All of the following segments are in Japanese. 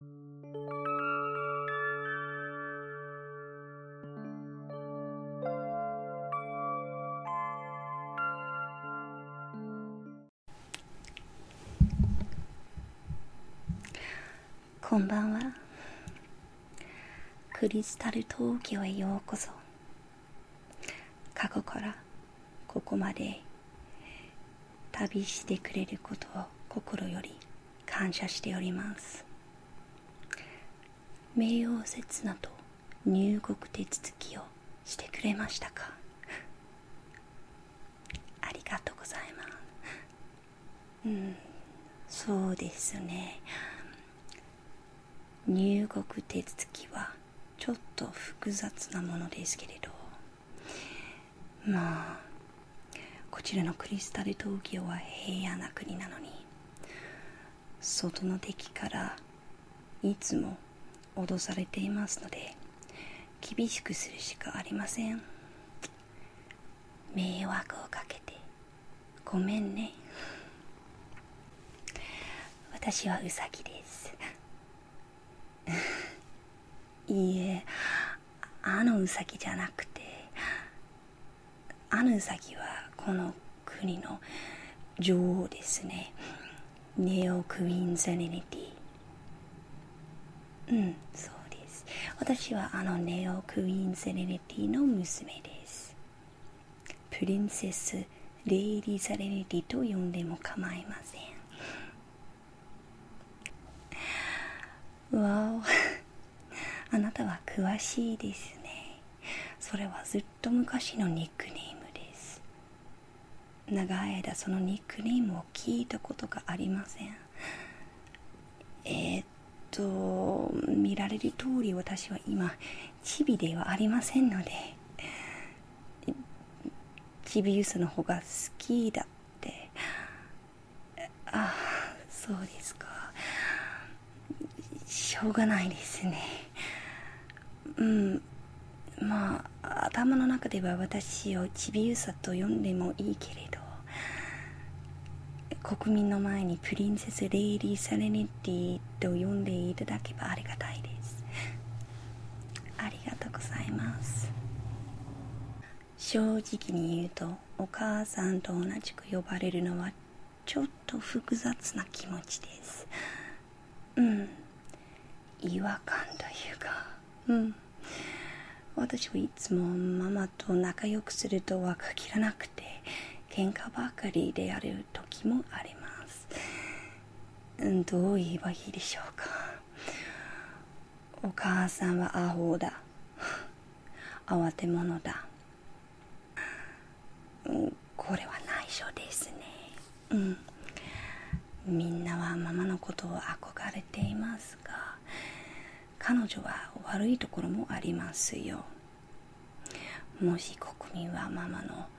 こんばんはクリスタル東京へようこそ過去からここまで旅してくれることを心より感謝しております冥王刹那と入国手続きをしてくれましたか ありがとうございますうんそうですね入国手続きはちょっと複雑なものですけれどまあこちらのクリスタル東京は平野な国なのに外の敵からいつも脅されていますので厳しくするしかありません迷惑をかけてごめんね私はウサギです いいえあのウじゃなくてあのウはこの国の女王ですねネオ・クイーン・セレニティうんそうです私はあのネオ・クイーン・セレニティの娘ですプリンセス・レイリー・セレニティと呼んでも構いませんわお あなたは詳しいですねそれはずっと昔のニックネームです長い間そのニックネームを聞いたことがありませんえっと見られる通り私は今チビではありませんのでちびゆさの方が好きだってああそうですかしょうがないですねうんまあ頭の中では私をちびゆさと呼んでもいいけれど国民の前にプリンセス・レイリー・サレネッティと呼んでいただけばありがたいですありりがとうございます正直に言うとお母さんと同じく呼ばれるのはちょっと複雑な気持ちですうん違和感というかうん私はいつもママと仲良くするとは限らなくて喧嘩ばかりである時もあります、うん、どう言えばいいでしょうかお母さんはアホだ慌て者だこれは内緒ですねうんみんなはママのことを憧れていますが彼女は悪いところもありますよもし国民はママの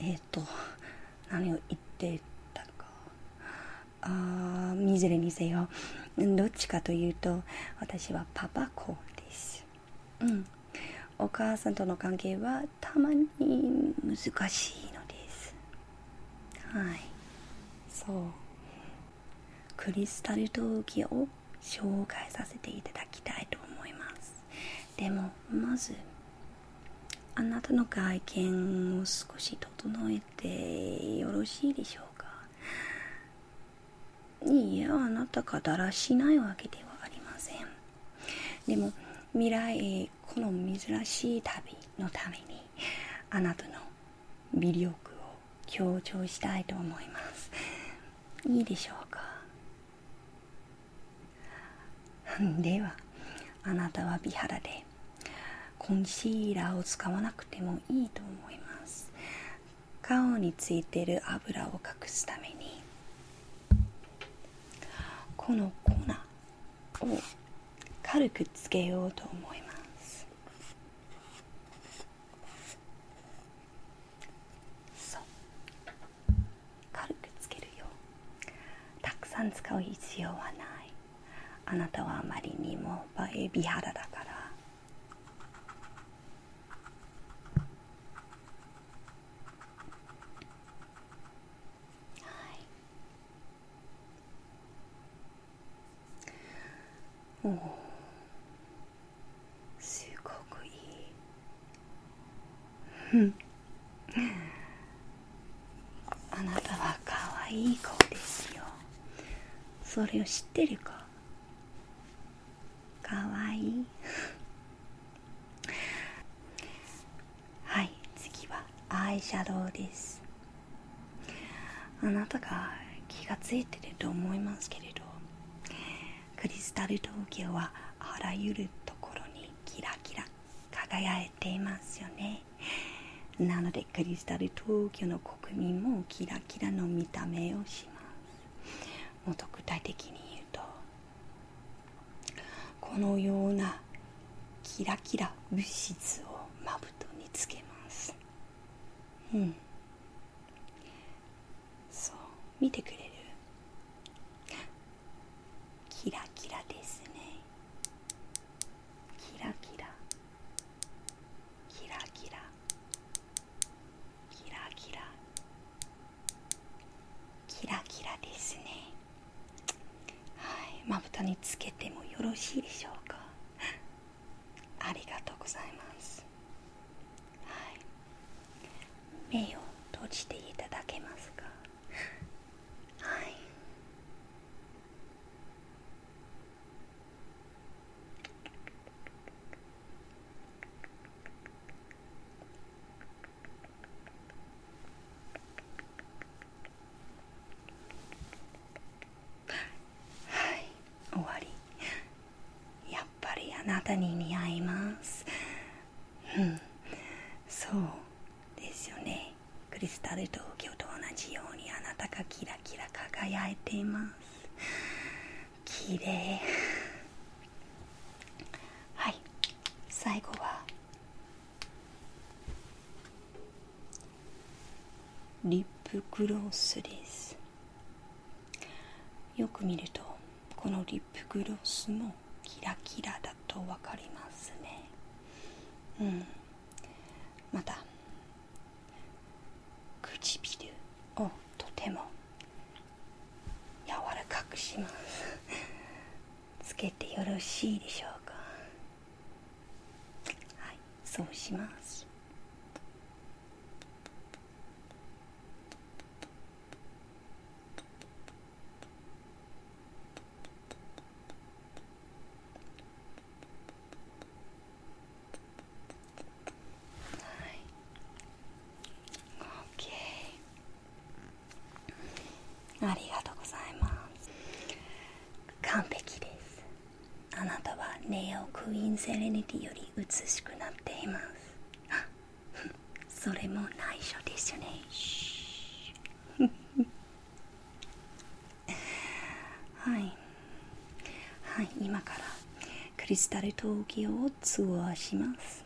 えっ、と何を言ってたのかあいずれにせよどっちかというと私はパパ子ですうんお母さんとの関係はたまに難しいのですはいそうクリスタルトー陶ーを紹介させていただきたいと思いますでもまずあなたの外見を少し整えてよろしいでしょうかにいやあなたがだらしないわけではありませんでも未来この珍しい旅のためにあなたの魅力を強調したいと思いますいいでしょうかではあなたは美肌でコンシーラーを使わなくてもいいと思います顔についてる油を隠すためにこの粉を軽くつけようと思いますそう軽くつけるよたくさん使う必要はないあなたはあまりにも美肌だからはいおすごくいいあなたはかわいい子ですよそれを知ってるかかわいいはい次はアイシャドウですあなたが気が付いてると思いますけれどクリスタル東京はあらゆるところにキラキラ輝いていますよねなのでクリスタル東京の国民もキラキラの見た目をしますもっと具体的に言うとこのようなキラキラ物質をまぶたにつけますうんそう見てくれるキラキラですねキラキラキラキラキラキラキラキラですねはいまぶたにつけてもよろしいでしょうかありがとうございますはい目を閉じていただけますかはいはい終わりやっぱりあなたに似合いますうんそうですよねクリスタル東京と同じようにあなたがキラキラ輝いています綺麗はい最後はリップクロスですよく見るとこのリップグロスもキラキラだと分かりますねうんまた唇をとても柔らかくしますつけてよろしいでしょうかはいそうしますはい。ありがとうございます。完璧です。あなたはネオクイーンセレニティより美しくなっています それも内緒ですよね はいはい今からクリスタル東京を通話します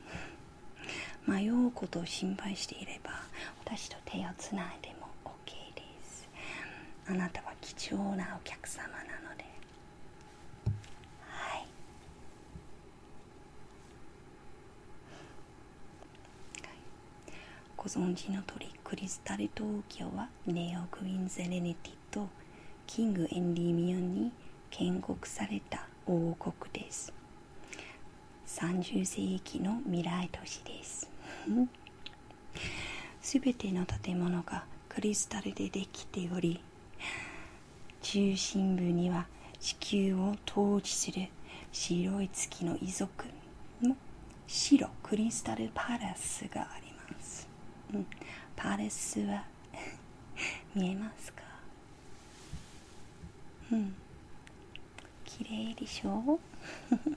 迷うことを心配していれば私と手をつないでも OK ですあなたは貴重なお客様なのではいご存知の鳥クリスタル東京はネオ・クイーン・ゼレネティとキング・エンディミオンに建国された王国です30世紀の未来都市ですすべての建物がクリスタルでできており中心部には地球を統治する白い月の遺族の白クリスタルパレスがあります、うん、パレスは見えますかうん綺麗でしょう。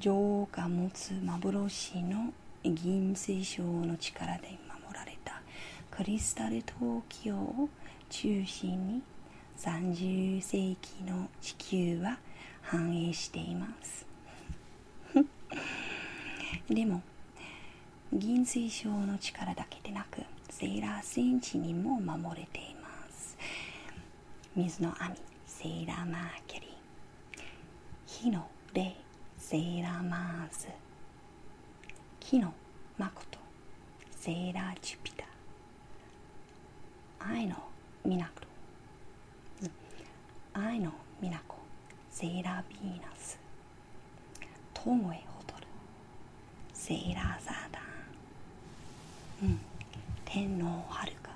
女王持つ幻の銀水晶の力で守られたクリスタル東京を中心に30世紀の地球は繁栄しています でも銀水晶の力だけでなくセーラー戦士にも守れています水の網セーラーマーケリー火の霊セーラーマーズ木の誠セーラージュピター愛のミナ港愛のミナコセーラーヴーナス友へ踊るセーラーサーダー天皇はるか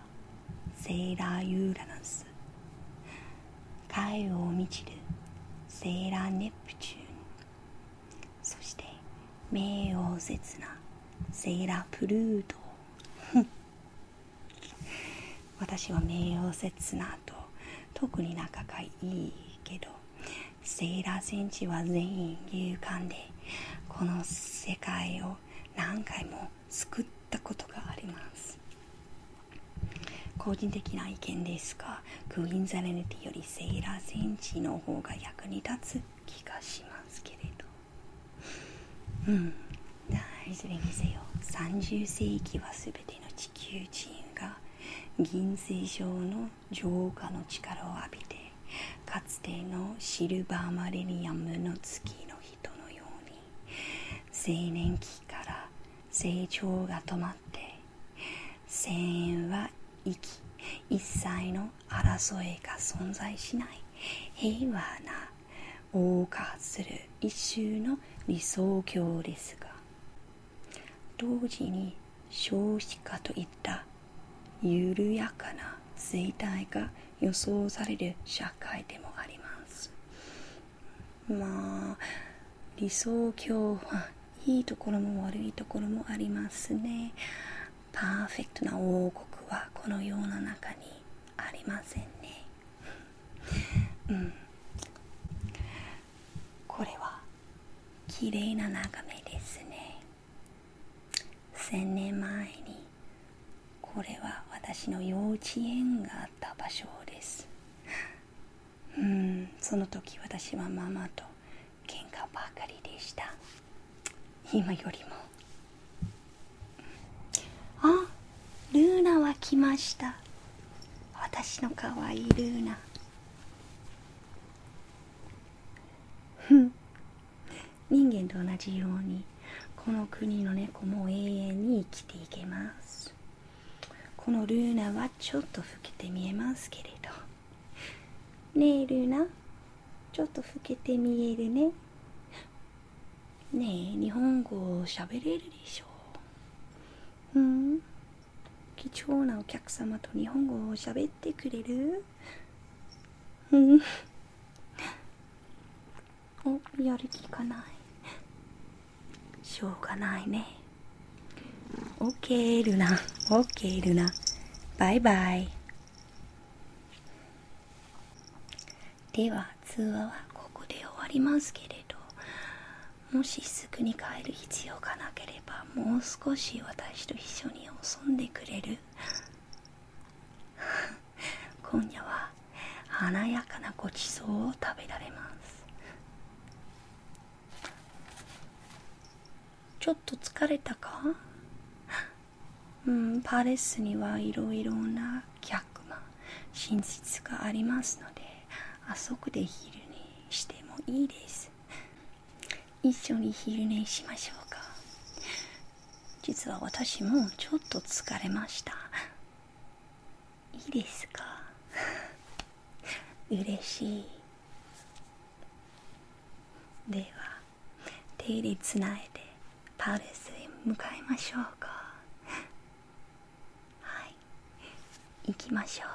セーラーユーラナス海を満ちるセーラーネプチューンそして名誉刹那セーラープルート 私は名誉刹那と特に仲がいいけどセーラー戦士は全員勇敢でこの世界を何回も救ったことがあります個人的な意見ですがクイーンザレネティよりセーラー戦士の方が役に立つ気がしますけれどうん大事にせよ30世紀は全ての地球人が銀星症の浄化の力を浴びてかつてのシルバーマレニアムの月の人のように青年期から成長が止まって声援は息一切の争いが存在しない平和な謳歌する一周の理想郷ですが同時に少子化といった緩やかな衰退が予想される社会でもありますまあ理想郷はいいところも悪いところもありますねパーフェクトな王国はこのような中にありませんねうんこれは綺麗な眺めですね1000年前にこれは私の幼稚園があった場所ですうんその時私はママと喧嘩ばかりでした今よりもあルーナは来ました私のかわいいルーナふん人間と同じようにこの国の猫も永遠に生きていけますこのルーナはちょっと老けて見えますけれどねえルーナちょっと老けて見えるねねえ日本語を喋れるでしょううん貴重なお客様と日本語を喋ってくれるうんおやる気がないしょうがないねオッケールナオッケールナバイバイでは通話はここで終わりますけれどもしすぐに帰る必要がなければもう少し私と一緒に遊んでくれる今夜は華やかなごちそうを食べられますちょっと疲れたかうんパレスにはいろいろな客間寝室がありますのであそこで昼にしてもいいです一緒に昼寝しましょうか実は私もちょっと疲れましたいいですか 嬉しいでは手でつないでパレスへ向かいましょうかはい行きましょう